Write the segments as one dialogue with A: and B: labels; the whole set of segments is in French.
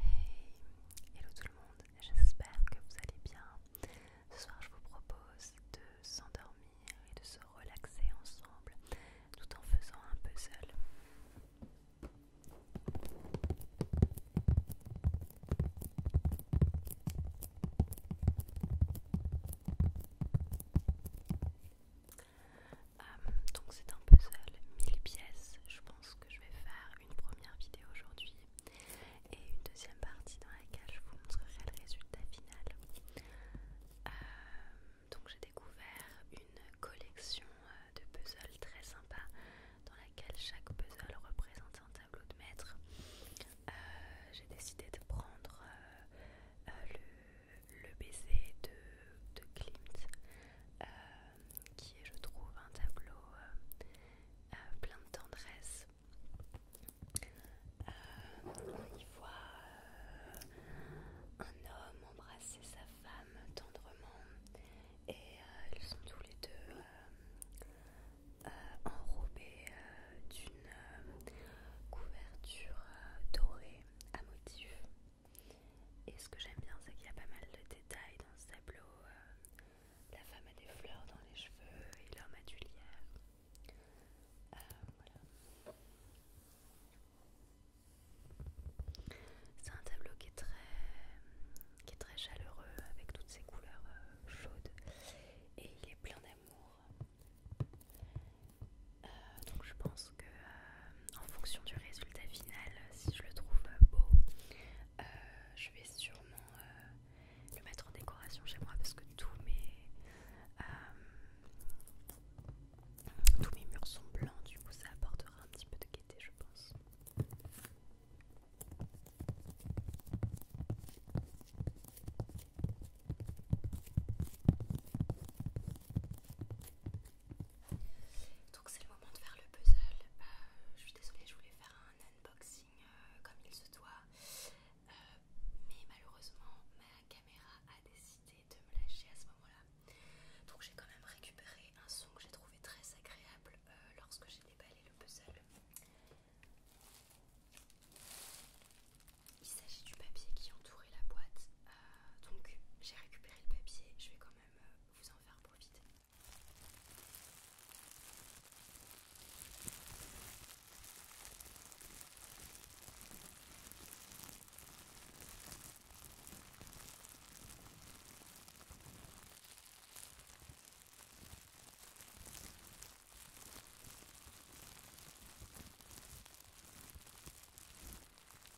A: Hey, hello tout le monde, j'espère que vous allez bien. Ce soir, je vous propose de s'endormir et de se relaxer ensemble tout en faisant un puzzle. Euh, donc c'est un puzzle 1000 pièces. Je pense que je vais faire une première vidéo aujourd'hui et une deuxième partie dans laquelle je vous montrerai le résultat final. Euh, donc j'ai découvert une collection euh, de puzzles très sympa dans laquelle chaque puzzle représente un tableau de maître. j'ai décidé de prendre le le baiser de, de Klimt, euh, qui est, je trouve, un tableau euh, euh, plein de tendresse. on y voit un homme embrasser sa femme tendrement et ils sont tous les deux enrobés d'une couverture dorée à motifs. Et ce que j'aime bien, c'est qu'il y a pas mal de détails dans ce tableau. Euh, la femme a des fleurs dans les cheveux et l'homme a du lierre. Euh, c'est un tableau qui est très, qui est très chaleureux avec toutes ces couleurs euh, chaudes et il est plein d'amour. donc je pense que euh, en fonction du résultat final, si je le trouve euh, beau, euh, je vais sûrement le mettre en décoration chez moi parce que tous tous mes murs sont blancs, du coup ça apportera un petit peu de gaieté, je pense. Donc c'est le moment de faire le puzzle. Euh, je suis désolée, je voulais faire un unboxing euh, comme il se doit. Euh, mais malheureusement, ma caméra a décidé de me lâcher à ce moment-là. Donc j'ai quand même récupéré un son que j'ai trouvé très agréable lorsque j'ai déballé le puzzle. Il s'agit du papier qui entourait la boîte. donc j'ai récupéré le papier, je vais euh, vous en faire profiter.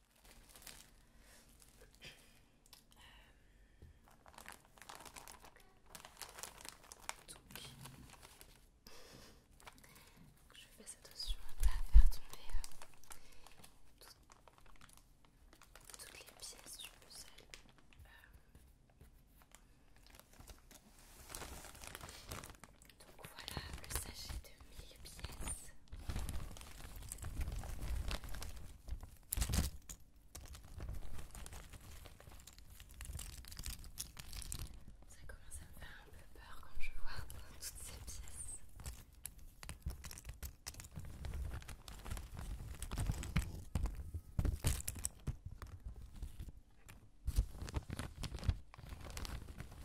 A: Euh, je fais attention à faire tomber euh, toutes les pièces du puzzle. Euh, voilà le sachet de mille pièces. Ça commence à me faire un peu peur quand je vois toutes ces pièces.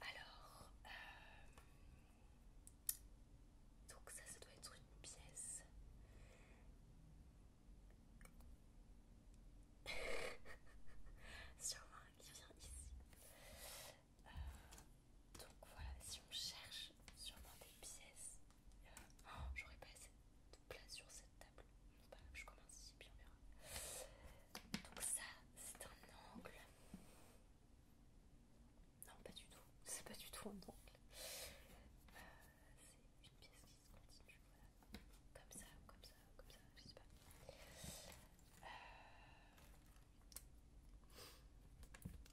A: Alors, euh, donc ça, ça doit être une pièce. Sûrement qui vient ici. Euh, donc voilà, si on cherche sûrement des pièces, euh, oh, j'aurais pas assez de place sur cette table. Bah, je commence ici, puis on verra. Donc ça, c'est un angle. Non, pas du tout. C'est pas du tout un angle. Euh, c'est une pièce qui se continue, voilà. Comme ça, comme ça, comme ça, je sais pas.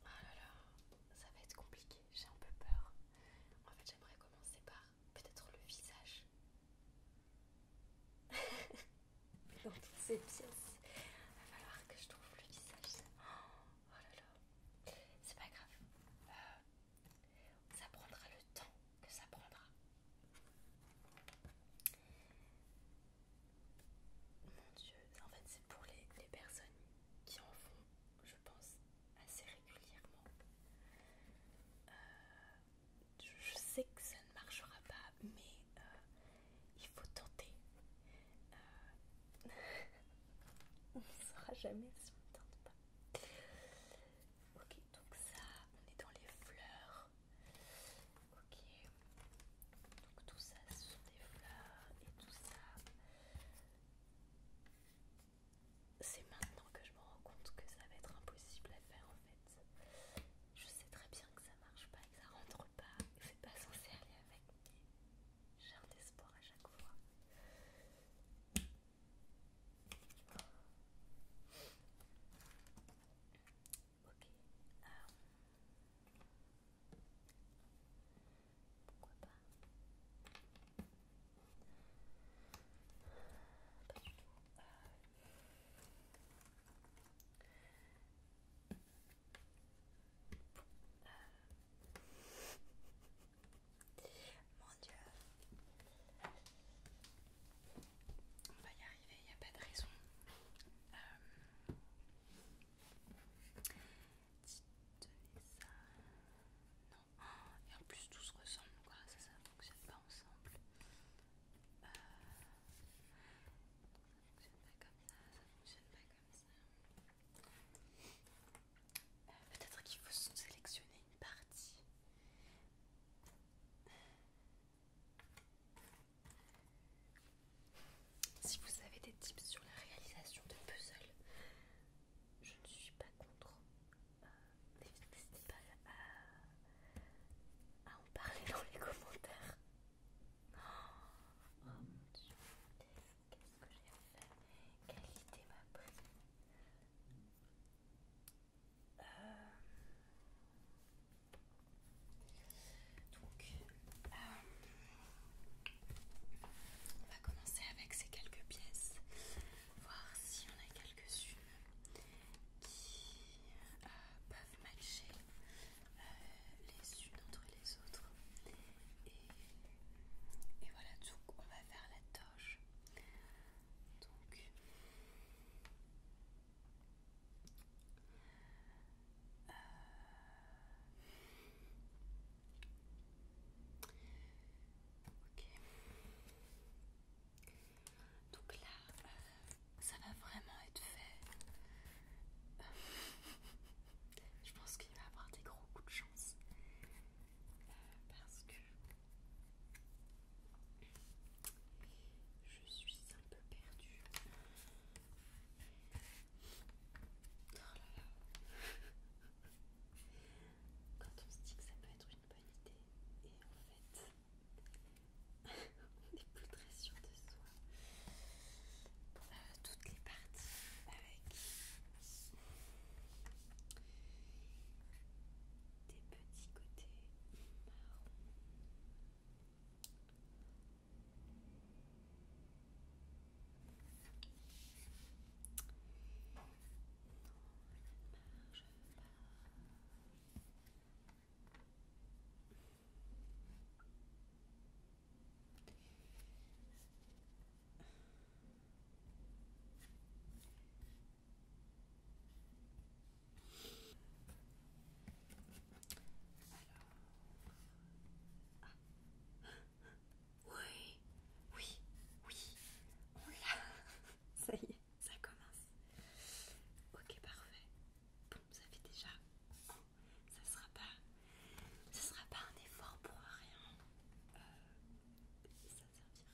A: Oh là là, ça va être compliqué, j'ai un peu peur. En fait, j'aimerais commencer par peut-être le visage. dans toutes ces pièces. Il va falloir que je trouve le visage. Oh là là, c'est pas grave. Euh, ça prendra le temps que ça prendra. Mon dieu, en fait, c'est pour les, personnes qui en font, je pense, assez régulièrement. Euh, je sais que ça ne marchera pas, mais euh, il faut tenter. Euh, on ne saura jamais si on ne tente pas. Ok, donc ça, on est dans les fleurs. Ok, donc tout ça, ce sont des fleurs et tout ça. C'est maintenant que je me rends compte que ça va être impossible à faire en fait je sais très bien que ça marche pas, que ça rentre pas, que c'est pas censé aller avec, mais j'ai un espoir à chaque fois. Ok. Pourquoi pas euh, mon Dieu, on va y arriver, il n'y a pas de raison. Euh, non. Et en plus tout se ressemble quoi, ça ça fonctionne pas ensemble. Ça ne fonctionne pas comme ça, ça fonctionne pas comme ça. Peut-être qu'il faut sélectionner une partie. Si vous avez des tips sur la réalisation de puzzles, je ne suis pas contre. Euh, à en parler dans les commentaires. Oh, mon dieu, qu'est-ce que j'ai fait Quelle idée m'a pris euh, Donc, euh, on va commencer avec ces quelques pièces, voir si on a quelques-unes qui euh, peuvent matcher euh, les unes entre les autres. Et, et voilà, tout on va faire la toche. Donc, euh, ok. Donc là, euh, ça va vraiment être fait. Euh, je pense qu'il va y avoir des gros coups de chance. Euh, parce que je suis un peu perdue. Oh là là. Quand on se dit que ça peut être une bonne idée, et en fait, des n'est plus très de soi. Euh, toutes les parties avec des petits côtés marron. Non, ça pas. Oui, oui, oui, on l'a. Ça y est ça commence. Ok, parfait. Bon, ça fait déjà. ça sera pas, ça sera pas un effort pour rien. Euh, ça servira.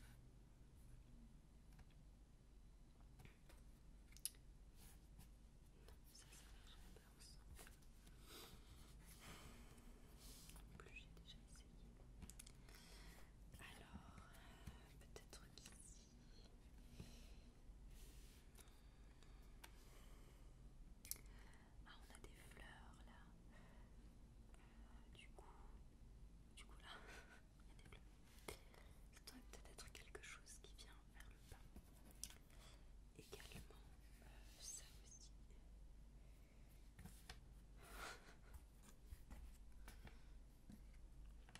A: Non, ça, ça marchera pas ensemble. En plus, j'ai déjà essayé. Alors, euh, peut-être qu'ici. Ah, on a des fleurs là. Euh, du coup, du coup là, il y a des bleus, Ça doit peut-être quelque chose qui vient vers le bas. Également, euh, ça aussi.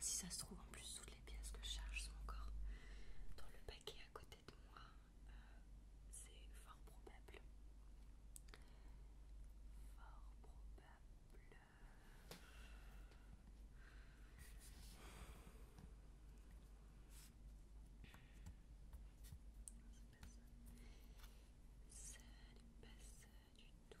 A: Si ça se trouve, en plus, toutes les pièces que je charge sont encore dans le paquet à côté de moi. Euh, c'est fort probable. Fort probable. C'est ça. pas ça du tout.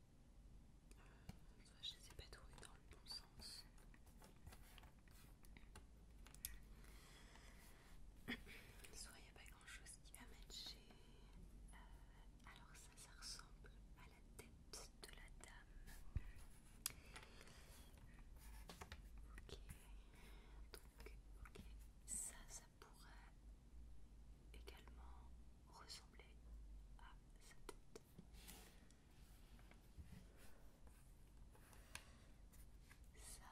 A: je ne les ai pas trouvées dans le bon sens. Soit il n'y a pas grand chose qui va matcher. Euh, alors ça, ça ressemble à la tête de la dame. Ok. Donc, ok. Ça, ça pourrait également ressembler à sa tête. Ça aussi.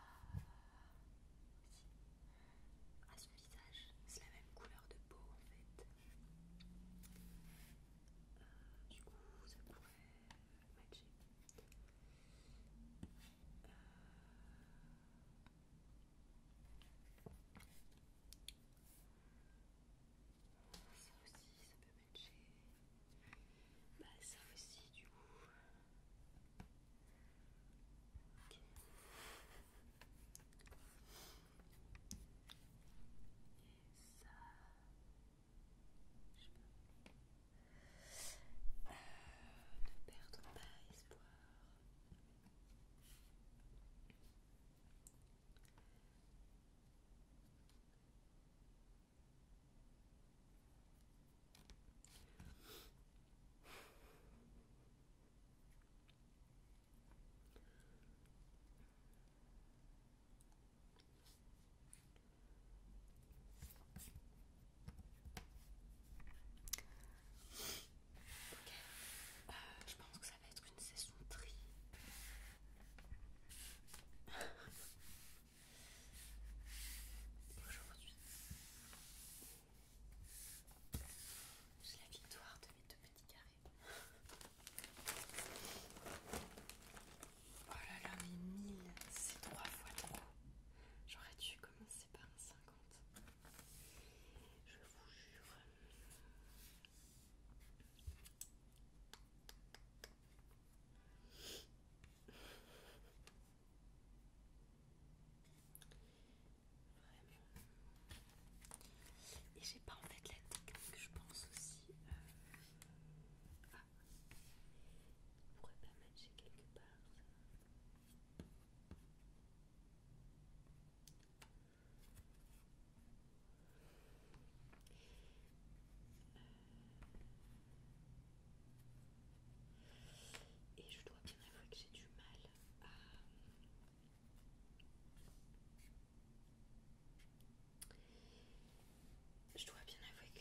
A: À ce visage, c'est la même couleur de peau en fait. du euh, coup, ça pourrait matcher. Ça aussi, ça peut matcher. Bah, ça aussi, du coup. Et ça. Je peux. ne perdons pas espoir. Ok, euh, je pense que ça ça va être une saison tri. Aujourd'hui, C'est la victoire de mes deux petits carrés. Oh là là, mais 1000, c'est 3 fois trop. J'aurais dû commencer par un 50. Je vous jure. Et j'ai pas en fait la technique, je pense aussi. Euh, ah. On pourrait pas matcher quelque part. Et je dois bien avouer que j'ai du mal à... Je dois bien avouer que...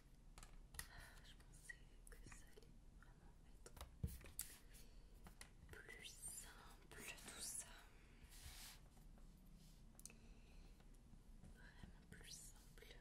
A: Je pensais que ça allait vraiment être plus simple tout ça. Vraiment plus simple.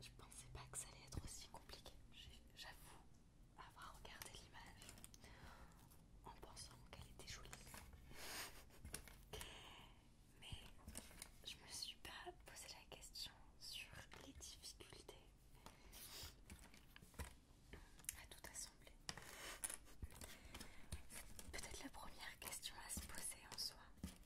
A: Je pensais pas que ça allait être aussi compliqué. J'avoue avoir regardé l'image en pensant qu'elle était jolie. Mais je me suis pas posé la question sur les difficultés à tout assembler. Peut-être la première question à se poser en soi,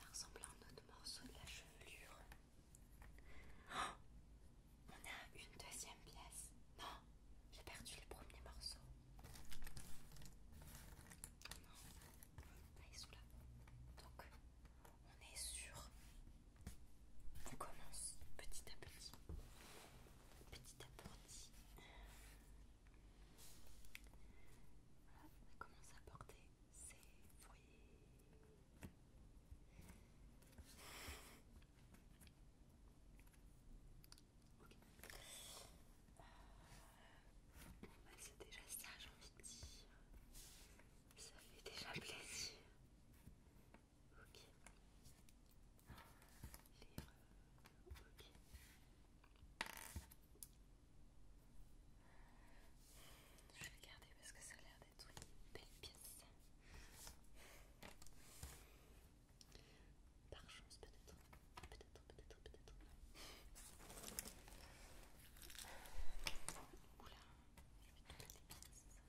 A: Ça ressemble à un autre morceau de la chevelure. Oh, on a une deuxième pièce. Non, j'ai perdu le premier morceau. Donc, on est sûr. On commence petit à petit. Petit à petit. Voilà, on commence à porter ses fruits. Ok. Euh, bah, c'est déjà ça, j'ai envie de dire. Ça fait déjà plaisir. Ok. Lire. Ok. Je vais regarder parce que ça a l'air d'être une belle pièce. Par chance peut-être. Peut-être, peut-être, peut-être. Oula, j'ai toutes les pièces.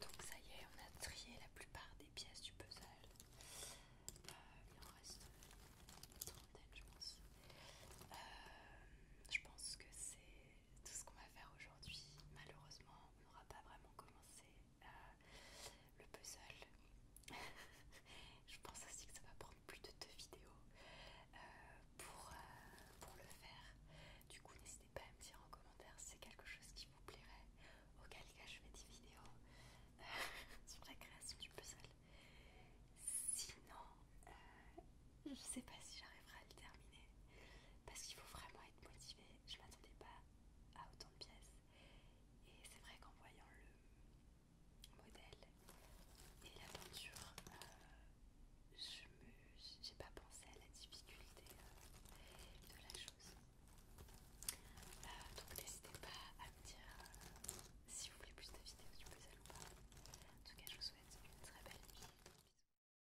A: Donc ça y est, on a trié la plupart des pièces du puzzle. Euh, il en reste une trentaine je pense. Euh, je pense que c'est tout ce qu'on va faire aujourd'hui, malheureusement, on n'aura pas vraiment commencé euh, le puzzle. Je pense aussi que ça va prendre plus de deux vidéos euh, euh, pour, le faire. Du coup, n'hésitez pas à me dire en commentaire si c'est quelque chose qui vous plairait, auquel cas je fais des vidéos sur la création du puzzle. Sinon, je sais pas si j'arriverai à le terminer parce qu'il faut vraiment motivé motivée, je m'attendais pas à autant de pièces. Et c'est vrai qu'en voyant le modèle et la peinture, euh, me je pas pensé à la difficulté euh, de la chose. Euh, donc n'hésitez pas à me dire si vous voulez plus de vidéos du puzzle ou pas. En tout cas, je vous souhaite une très belle nuit.